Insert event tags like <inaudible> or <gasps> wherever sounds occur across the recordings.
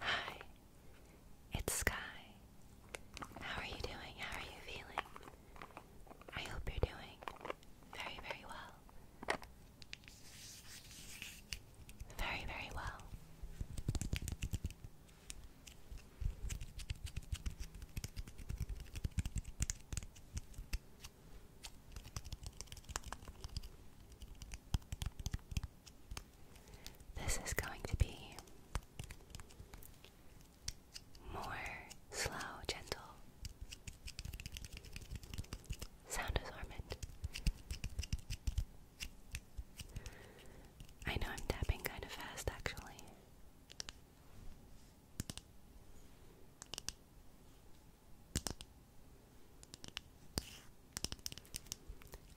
Hi, it's Sky. How are you doing? How are you feeling? I hope you're doing very, very well. Very, very well. This is going to be more slow, gentle sound assortment. I know I'm tapping kind of fast actually.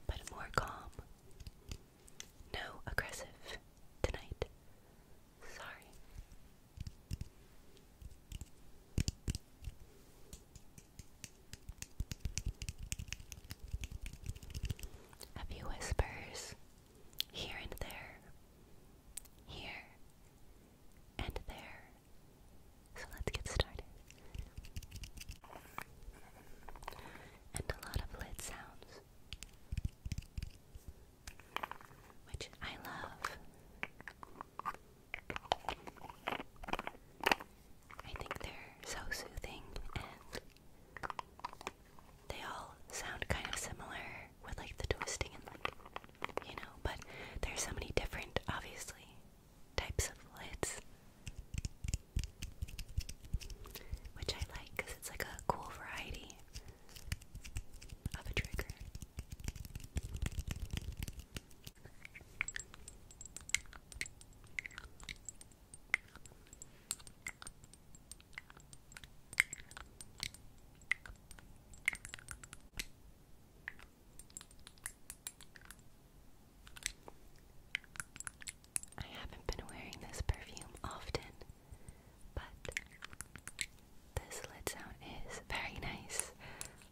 But more calm. No aggressive tonight. Sorry. A few whispers here and there, here and there. So let's get started. And a lot of lid sounds, which I love. I think they're so soothing and they all sound kind of similar with like the twisting you know, but there's so many different, obviously, types of lids. Which I like because it's like a cool variety of a trigger. I haven't been wearing this perfume often, but this lid sound is very nice.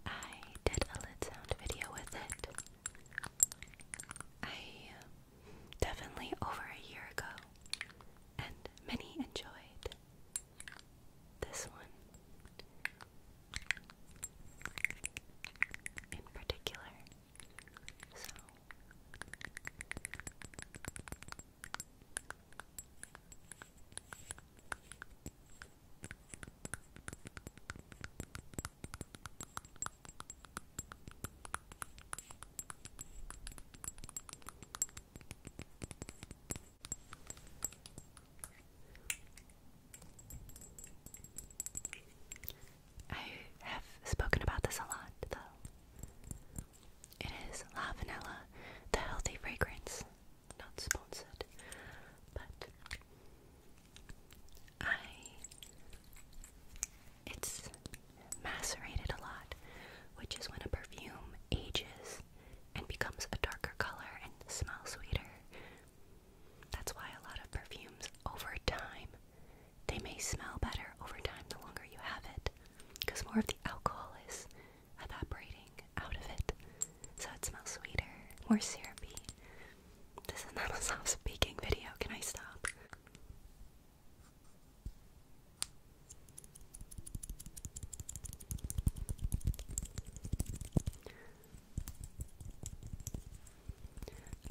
I did a lid sound video with it. I uh, definitely over a year ago, and many enjoyed this one in particular. So I have spoken about this a lot, though. It is La Vanilla, the healthy fragrance. Not sponsored, but I. It's macerated a lot, which is when a perfume ages and becomes a darker color and smells sweeter. That's why a lot of perfumes over time they may smell better over time the longer you have it because more of the alcohol is evaporating out of it. So it smells sweeter, more syrupy. This is not a soft speaking video. Can I stop?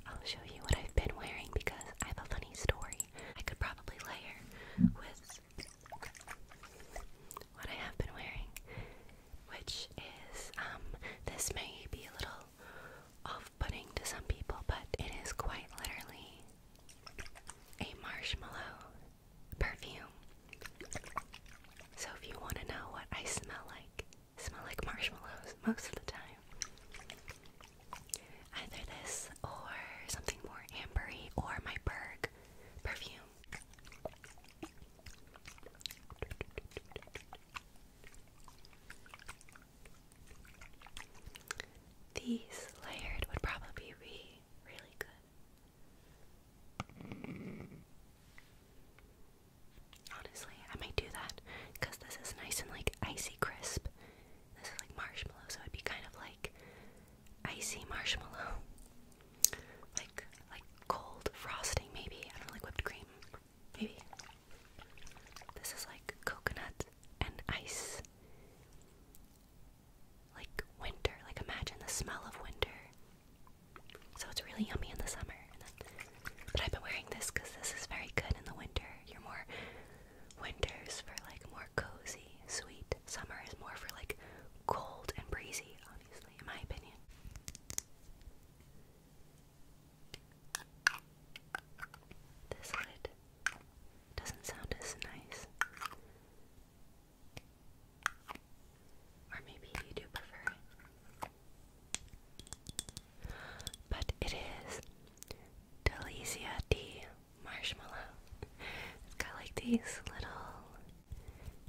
I'll show you what I've been wearing because I have a funny story. I could probably layer with what I have been wearing, which is um this may be a little off-putting to some people, but it is quite literally a marshmallow perfume. So if you want to know what I smell like, smell like marshmallows most of the time. Either this or something more ambery or my Berg perfume. These layered would probably be really good. Honestly, I might do that because this is nice and like icy crisp. This is like marshmallow, so it'd be kind of like icy marshmallow, <laughs> like like cold frosting, maybe. I don't like whipped cream, maybe. This is like coconut and ice like winter. Like imagine the smell of winter. So it's really yummy in the summer. And but I've been wearing this because this is very good in the winter. You're more winters for like more cozy, sweet. Summer is more for like cold and breezy, obviously, in my opinion. This lid doesn't sound as nice. Or maybe you do prefer it. But it is Delicia D marshmallow. It's got like these little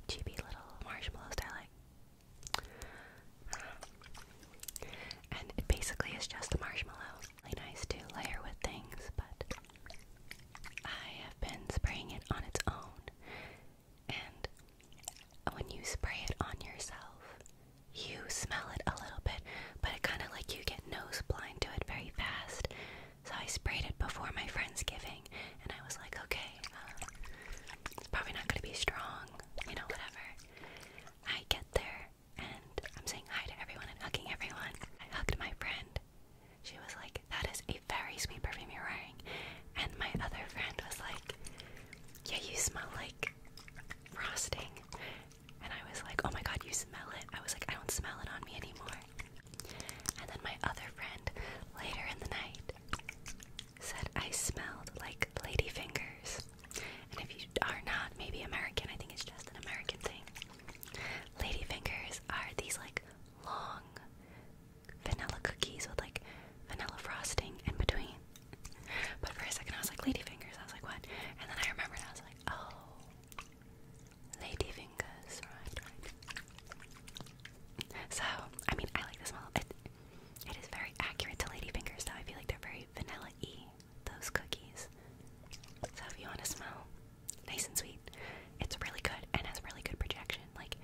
cheapy little marshmallows that I like. and it basically is just a marshmallow. Really nice to layer with things, but I have been spraying it on its own and when you spray it on yourself, you smell it a little bit, but it kind of like you get nose blind to it very fast. So I sprayed it before my friend's giving, and I was like, okay, um, it's probably not gonna be strong, you know, whatever. I get there, and I'm saying hi to everyone and hugging everyone. I hugged my friend, she was like, That is a very sweet perfume you're wearing. And my other friend was like, Yeah, you smell like frosting. And I was like, Oh my god, you smell it. I was like, I don't smell it on me anymore. And then my other friend later in the night said, I smelled like lady fingers," And if you are not maybe American, I think it's just an American thing. Lady fingers are these like long vanilla cookies with like vanilla frosting in between. But for a second, I was like, Ladyfingers. I was like, what? And then I remembered, I was like, oh, Ladyfingers. Right, right. So, I mean, I like the smell. It, it is very accurate to Ladyfingers, though. I feel like they're very vanilla y, those cookies. So, if you want to smell nice and sweet, it's really good and has really good projection. Like,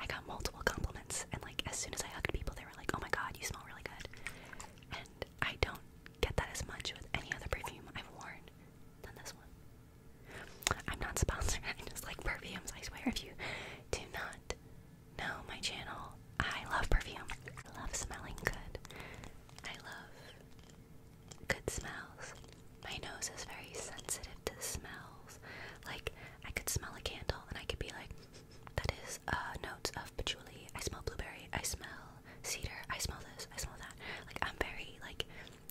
I got multiple compliments, and like as soon as I hugged people, they were like, "Oh my god, you smell really good." And I don't get that as much with any other perfume I've worn than this one. I'm not sponsored. <laughs> I just like perfumes. I swear, if you do not know my channel, I love perfume. I love smelling good. I love good smells. My nose is very sensitive to smells. Like, I could smell a candle and I could be like, that is uh, notes of patchouli. I smell blueberry. I smell cedar. I smell this. I smell that. Like, I'm very, like,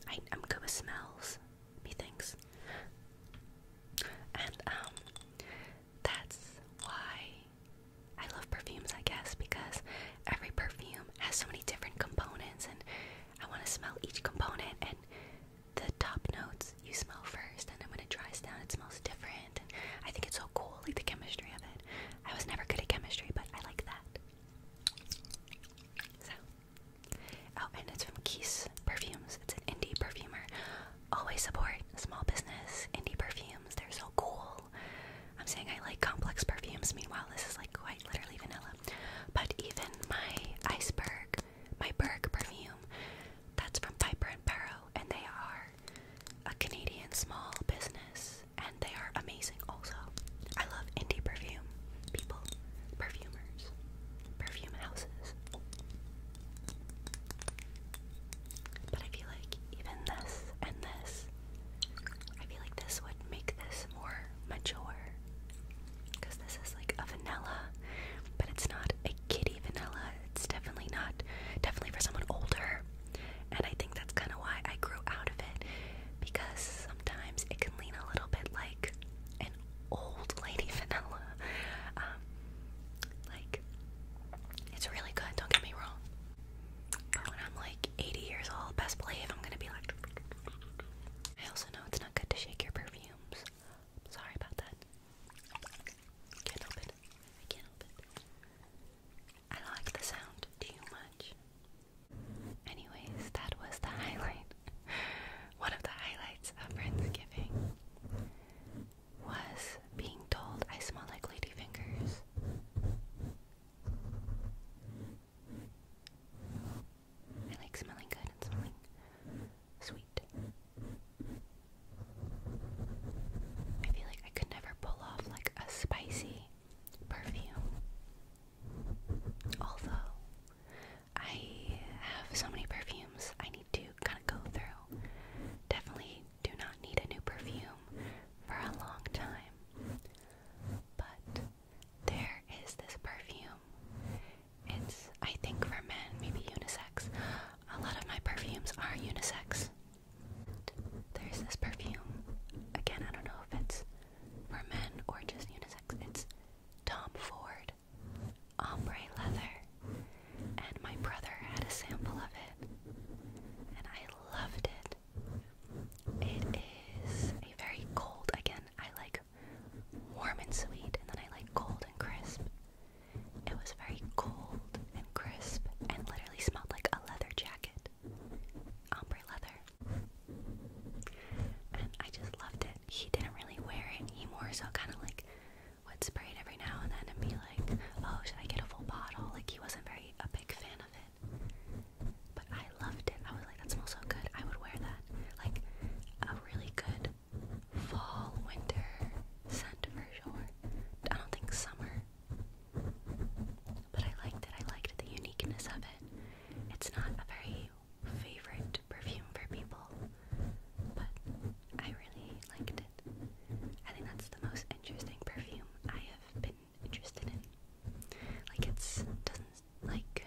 I, am good with smells, methinks. And, um, that's why I love perfumes, I guess, because every perfume has so many different components, and I want to smell each component and the top notes you smell first, and then when it dries down, it smells different. And I think it's so cool, like the chemistry of it. I was never good at chemistry, but I like that. So, oh, and it's from Keys Perfumes. It's an indie perfumer. Always support small business indie perfumes. They're so cool. I'm saying I like complex perfumes. Meanwhile, this is like quite literally vanilla. But even my iceberg my Berg perfume. That's from Piper and Barrow, and they are a Canadian small business, and they are amazing. Also, I love indie perfume people, perfumers, perfume houses. But I feel like even this and this, I feel like this would make this more mature because this is like a vanilla, but it's not a kitty vanilla. It's definitely not, definitely for someone older. And I think that's kind of why I grew out of it. Because sometimes it can lean a little bit like an old lady <laughs> vanilla. Um, like, it's really good, don't get me wrong. when I'm like 80 years old, best believe I'm gonna be like. I also know it's not good to shake your perfume sorry about that. can't help I can't help I like the sound too much. Anyways, that was the highlight. <laughs> One of the highlights of Thanksgiving was being told I smell like ladyfingers. I like smelling good and smelling sweet. I feel like I could never pull off like a spicy perfume. Although I have so many perfumes I need to kind of go through. Definitely do not need a new perfume for a long time. But there is this perfume. It's, I think, for men, maybe unisex. A lot of my perfumes are unisex. There's this perfume. Again, I don't know if it's for men or just unisex. It's Tom Ford Ombre Leather. And my brother had a sample of it. And I loved it. It is a very cold, again, I like warm and sweet, and then I like cold and crisp. It was very cold and crisp and literally smelled like a leather jacket. Ombre leather. And I just loved it. He didn't really wear it. He more so kind of like would spray it every now and then and be like, oh, should I get a full bottle? Like he wasn't very a big fan of it. But I loved it. I was like, that smells so good. I would wear that. Like a really good fall winter scent for sure. I don't think summer. But I liked it. I liked the uniqueness of it. It's not a very favorite perfume for people, but I really liked it. I think that's the most interesting perfume I have been interested in. Like it's doesn't like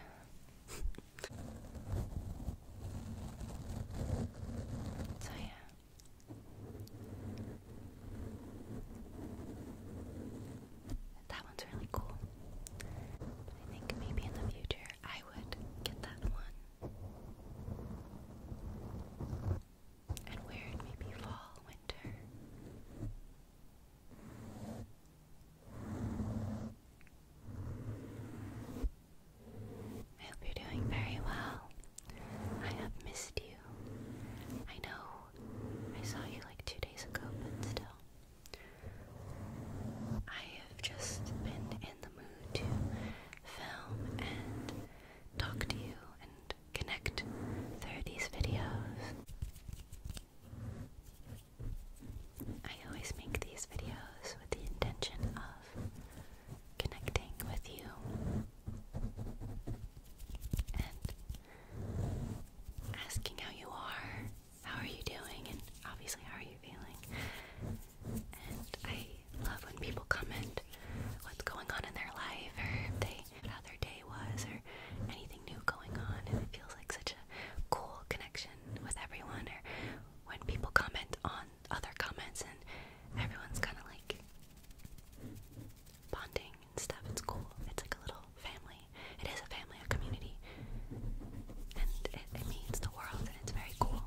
so yeah that one's really cool. I think maybe in the future I would get that one and wear it maybe fall, winter. I hope you're doing very well. I have missed you. I know I saw you like two days ago, but still. I have just been in the mood to film and talk to you and connect through these videos. I always make these videos with the intention of connecting with you and asking how you are, how are you doing, and obviously, how are you feeling. And I love when people comment what's going on in their life, or they, how their day was, or anything new going on, and it feels like such a cool connection with everyone, or when people comment on other comments and everyone's kind of like bonding and stuff. It's cool. It's like a little family. It is a family, a community, and it, means the world, and it's very cool.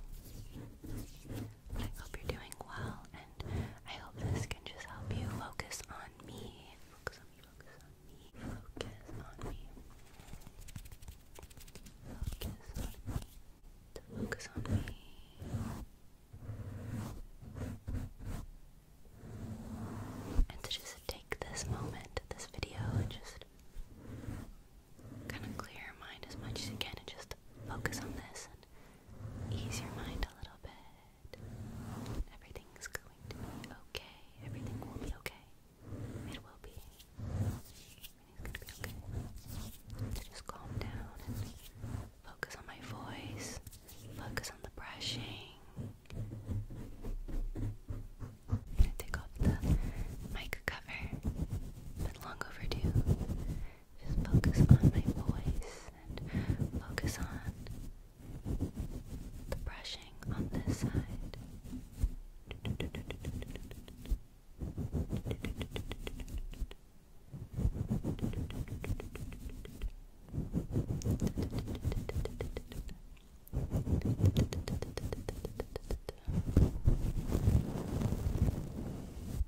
I hope you're doing well, and I hope this can just help you focus on me. Focus on me. Focus on focus on me, focus on me, to focus on me. And to just take this moment, this video, and just kind of clear your mind as much as you can and just focus on this and ease your mind a little bit. Everything's going to be okay. Everything will be okay. It will be. Everything's gonna be okay. So just calm down focus on my voice. Focus on the brushing. gonna take off the mic cover. Been long overdue. Just focus on my voice and focus on the brushing brushing on this side.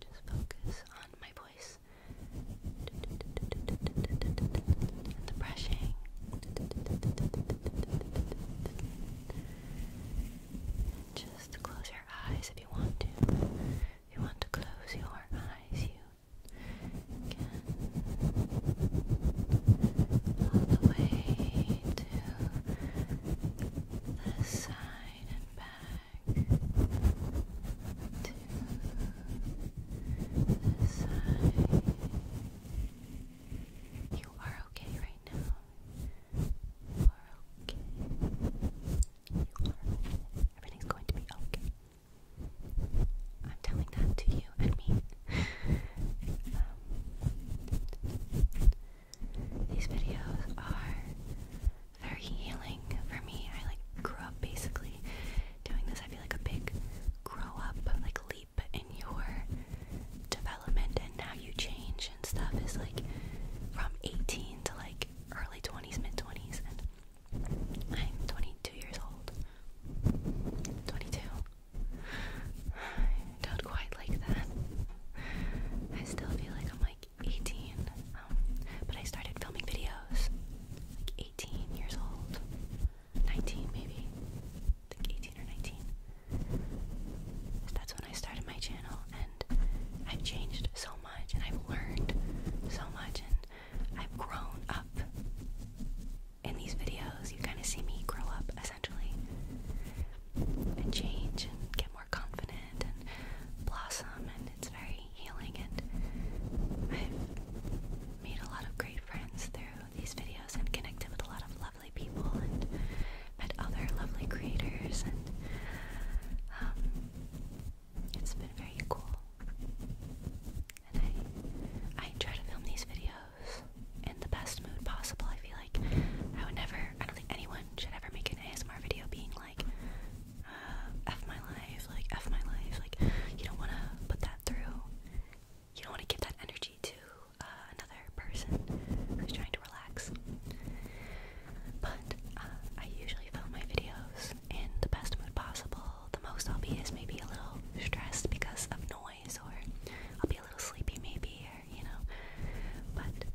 Just focus on my voice and the brushing. Just close your eyes if you want to. If you want to close your eyes, you can. All the way to the side and back. To the side. You are okay right now. You You are Everything's going to be okay. I'm telling that to you and me. Um, these videos are very healing for me. I like grew up basically doing this. I feel like a big grow up, like in your development and how you change and stuff is like from 18 to like early 20s, mid 20s, and I'm 22 years old. 22. I don't quite like that. I still feel like I'm like 18, um, but I started filming videos like 18 years old, 19 maybe, think 18 or 19. That's when I started my channel, and I've changed so much, and I've learned so much, and I've grown up. In these videos, you kind of see me grow up essentially and change and get more confident and blossom, and it's very healing. And I've made a lot of great friends through these videos and connected with a lot of love lovely people and met other lovely creators, and um, it's been very cool. And I, I try to film these videos in the best mood possible. I feel like I would never, I don't think anyone should ever make an ASMR video being like, uh, F my life, like, F my life. Like, you don't want to put that through, you don't want to give that energy to uh, another person who's trying to relax. But uh, I usually film my videos in the best mood possible. The most I'll be is maybe a little stressed because of noise, or I'll be a little sleepy, maybe, you know. But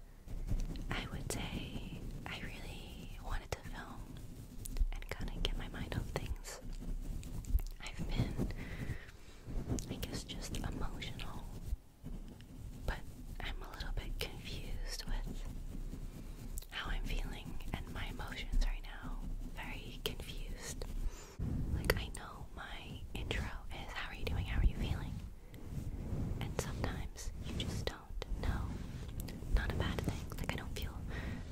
I would say I really wanted to film and kind of get my mind off things. I've been I guess just emotional. But I'm a little bit confused with how I'm feeling and my emotions right now. Very confused. Like, I know my intro is how are you doing? How are you feeling? And sometimes you just don't know. Not a bad thing. Like, I don't feel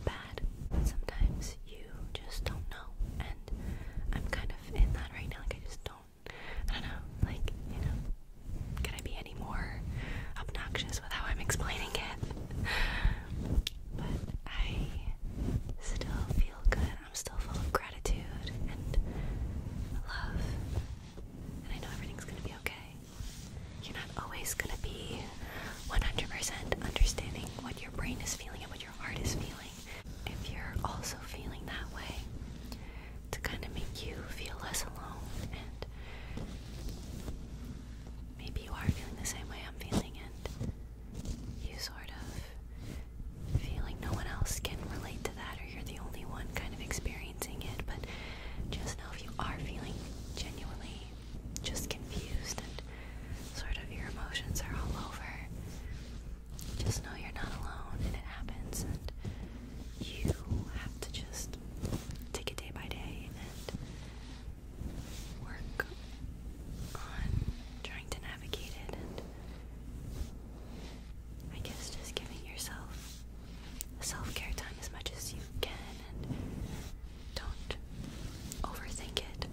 bad. sometimes you just don't know. And I'm kind of in that right now. Like I just don't. I don't know. Like you know, can I be any more obnoxious with how I'm explaining it? But I still feel good. I'm still full of gratitude and love, and I know everything's gonna be okay. You're not always gonna be 100% understanding what your brain is feeling and what your heart is feeling. If you're also feeling that way, to kind of make you feel less alone, and maybe you are feeling the same way I'm feeling, and you sort of feeling no one else can relate to that, or you're the only one kind of experiencing it, but just know if you are feeling genuinely just confused and sort of your emotions are all over just know you're not alone and it happens and you have to just take it day by day and work on trying to navigate it and I guess just giving yourself self-care time as much as you can and don't overthink it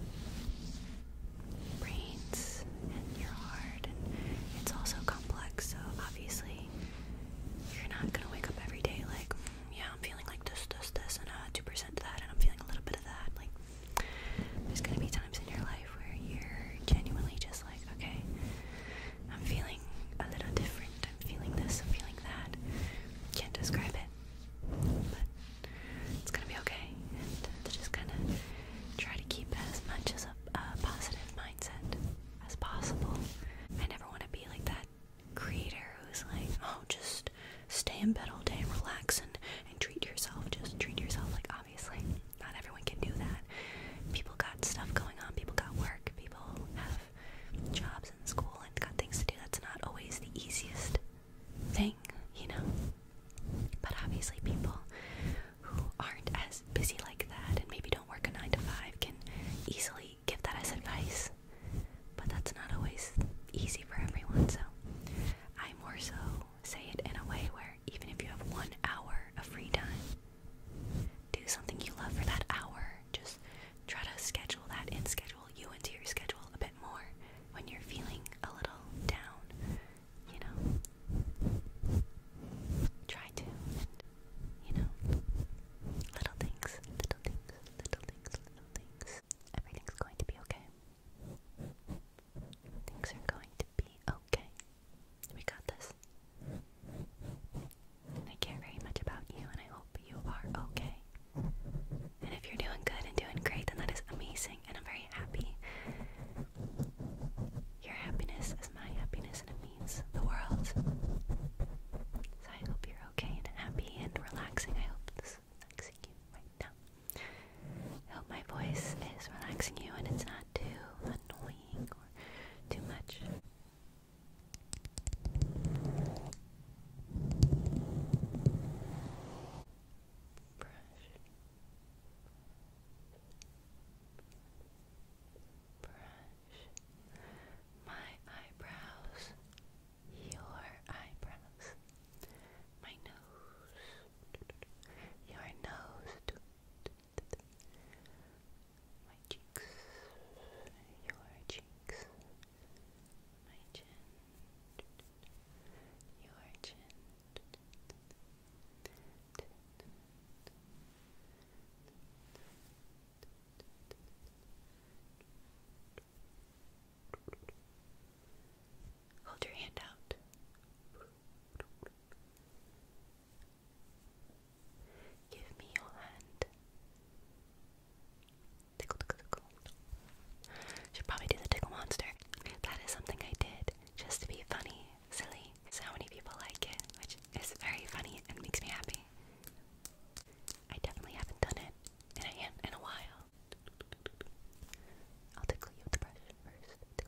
brains and your heart, and it's also complex. So obviously, you're not gonna wake up every day like, mm, yeah, I'm feeling like this, this, this, and uh, two percent that, and I'm feeling a little bit of that. Like, there's gonna be times in your life where you're genuinely just like, okay, I'm feeling a little different. I'm feeling this. I'm feeling that. Can't describe it, but it's gonna be okay. And to just gonna try to keep as much as a, a positive mindset as possible. I never want to be like that creator who's like, oh, just stay in bed all day and relax and, and treat yourself. Just treat yourself. Like, obviously, not everyone can do that. People got stuff going on, people got work, people have jobs and school and got things to do. That's not always the easiest thing, you know? But obviously, people who aren't as busy like that and maybe don't work a 9 to 5 can easily give that as advice. But that's not always easy for everyone, so I more so say it in a way where even if you have one hour of free time, do something you love for that hour. Just try to schedule that in, schedule you into your schedule a bit more when you're feeling a little down you know, try to, you know, little things, little things, little things, little things. Everything's going to be okay. Things are going to be okay. We got this. I care very much about you, and I hope you are okay. And if you're doing good and doing great, then that is amazing and I'm very happy. Your happiness is my happiness and it means the world. So I hope you're okay and happy and relaxing. I hope this is relaxing you right now. I hope my voice is relaxing you and it's not too annoying or too much. Brush my eyebrows, your eyebrows, my nose, your nose, my cheeks, your cheeks, my chin. Hold your hand out. Give me your hand. Should probably do the tickle monster. That is something I did just to be funny, silly. So many people like it, which is very funny and makes me happy. I definitely haven't done it in a, in a while. I'll tickle you with the brush first. I'm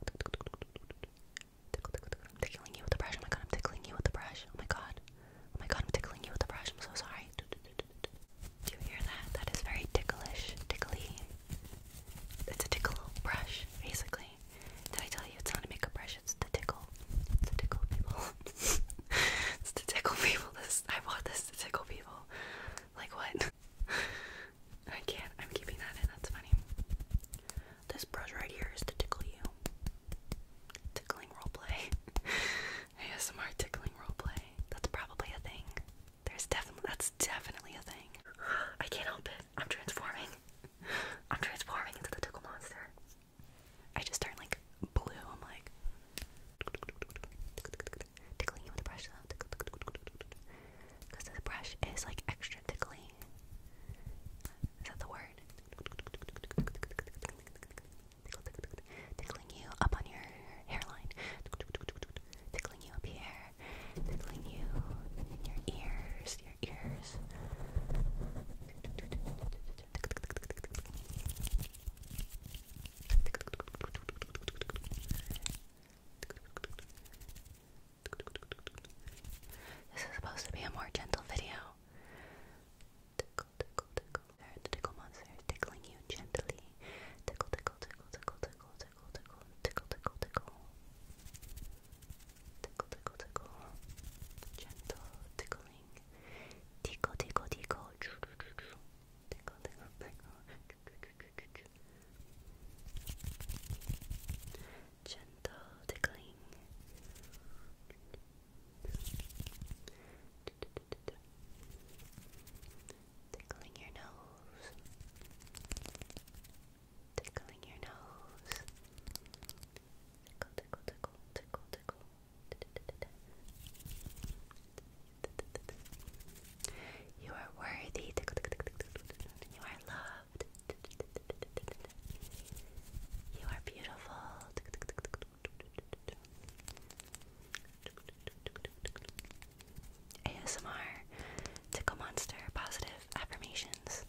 tickling you with the brush. Oh my god, I'm tickling you with the brush. Oh my god. Oh my god, I'm tickling you with the brush. I'm so sorry. Do you hear that? That is very ticklish, tickly, it's a tickle brush, basically. Did I tell you it's not a makeup brush? It's to tickle. It's to tickle people. <laughs> it's to tickle people. This I bought this to tickle people. Like what? <laughs> I can't. I'm keeping that in. That's funny. This brush right here is to tickle you. Tickling roleplay. ASMR <laughs> tickling roleplay. That's probably a thing. There's definitely that's definitely a thing. <gasps> I can't help it. I'm transforming. <laughs> I'm transforming into the tickle monster. I just turn like blue. I'm like tickling you with a brush Because the brush is like extra tickly. Is that the word? Tickling you up on your hairline. Tickling you up here tickling you in your ears, your ears. This is supposed to be a more gentle video. Tickle, tickle, tickle. The tickle monster tickling you gently. Tickle, tickle, tickle, tickle, tickle, tickle, tickle, tickle, tickle, tickle. Tickle, tickle, tickle. Gentle tickling. Tickle, tickle, tickle. Tickle, tickle, tickle. Gentle tickling. Tickling your nose tickling your nose. Tickle, tickle, tickle, tickle, tickle. You are worthy. You are loved. You are beautiful. ASMR, Tickle Monster, positive affirmations.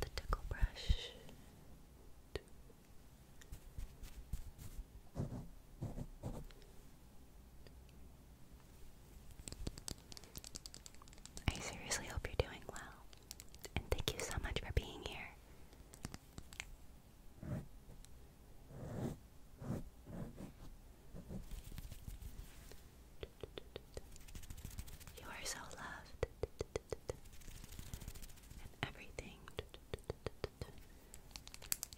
the tickle brush. I seriously hope you're doing well, and thank you so much for being here. You are so loved, and everything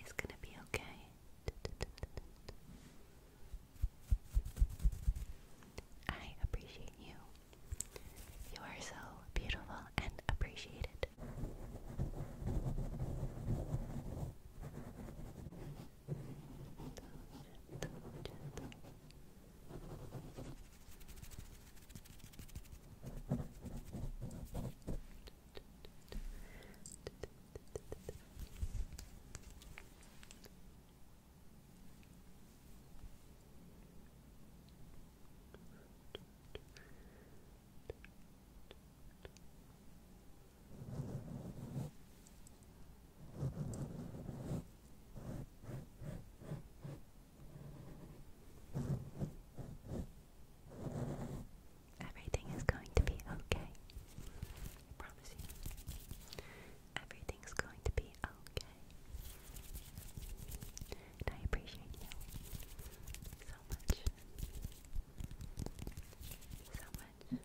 is gonna be okay. I appreciate you you are so beautiful and appreciated. Everything is going to be okay. I promise you. Everything's going to be okay? I appreciate you so much. So much.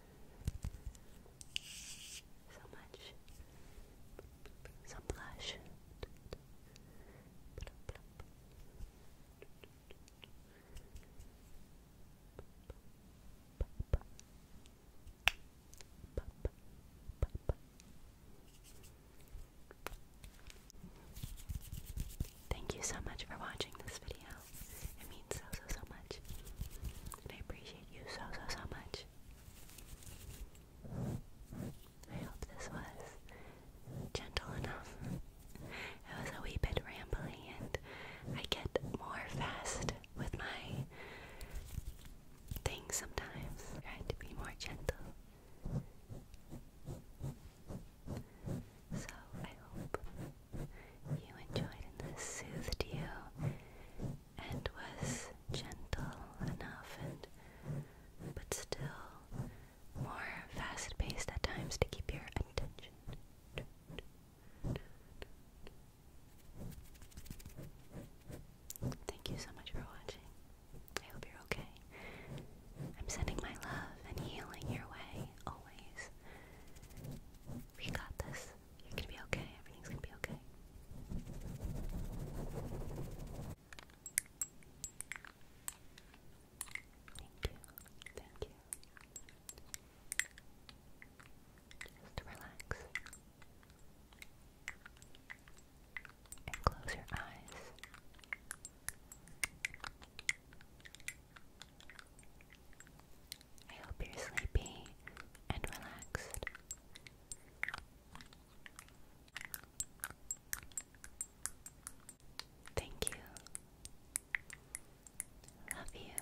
So much. Some blush. Papa, papa, Thank you so much for watching this video. It means so, so, so much. I appreciate you so, so, so much. I hope this was gentle enough. It was a wee bit rambly, and I get more fast with my things sometimes. I to be more gentle. So I hope you enjoyed and this soothed you and was gentle enough and but still more fast paced at times to keep your attention. Thank you so much for watching. I hope you're okay. I'm sending my love and healing your way, always. We got this. You're gonna be okay. Everything's gonna be okay. Thank you. Thank you. Just relax and close your eyes. I hope you're sleepy and relaxed. Thank you. Love you.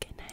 Good night.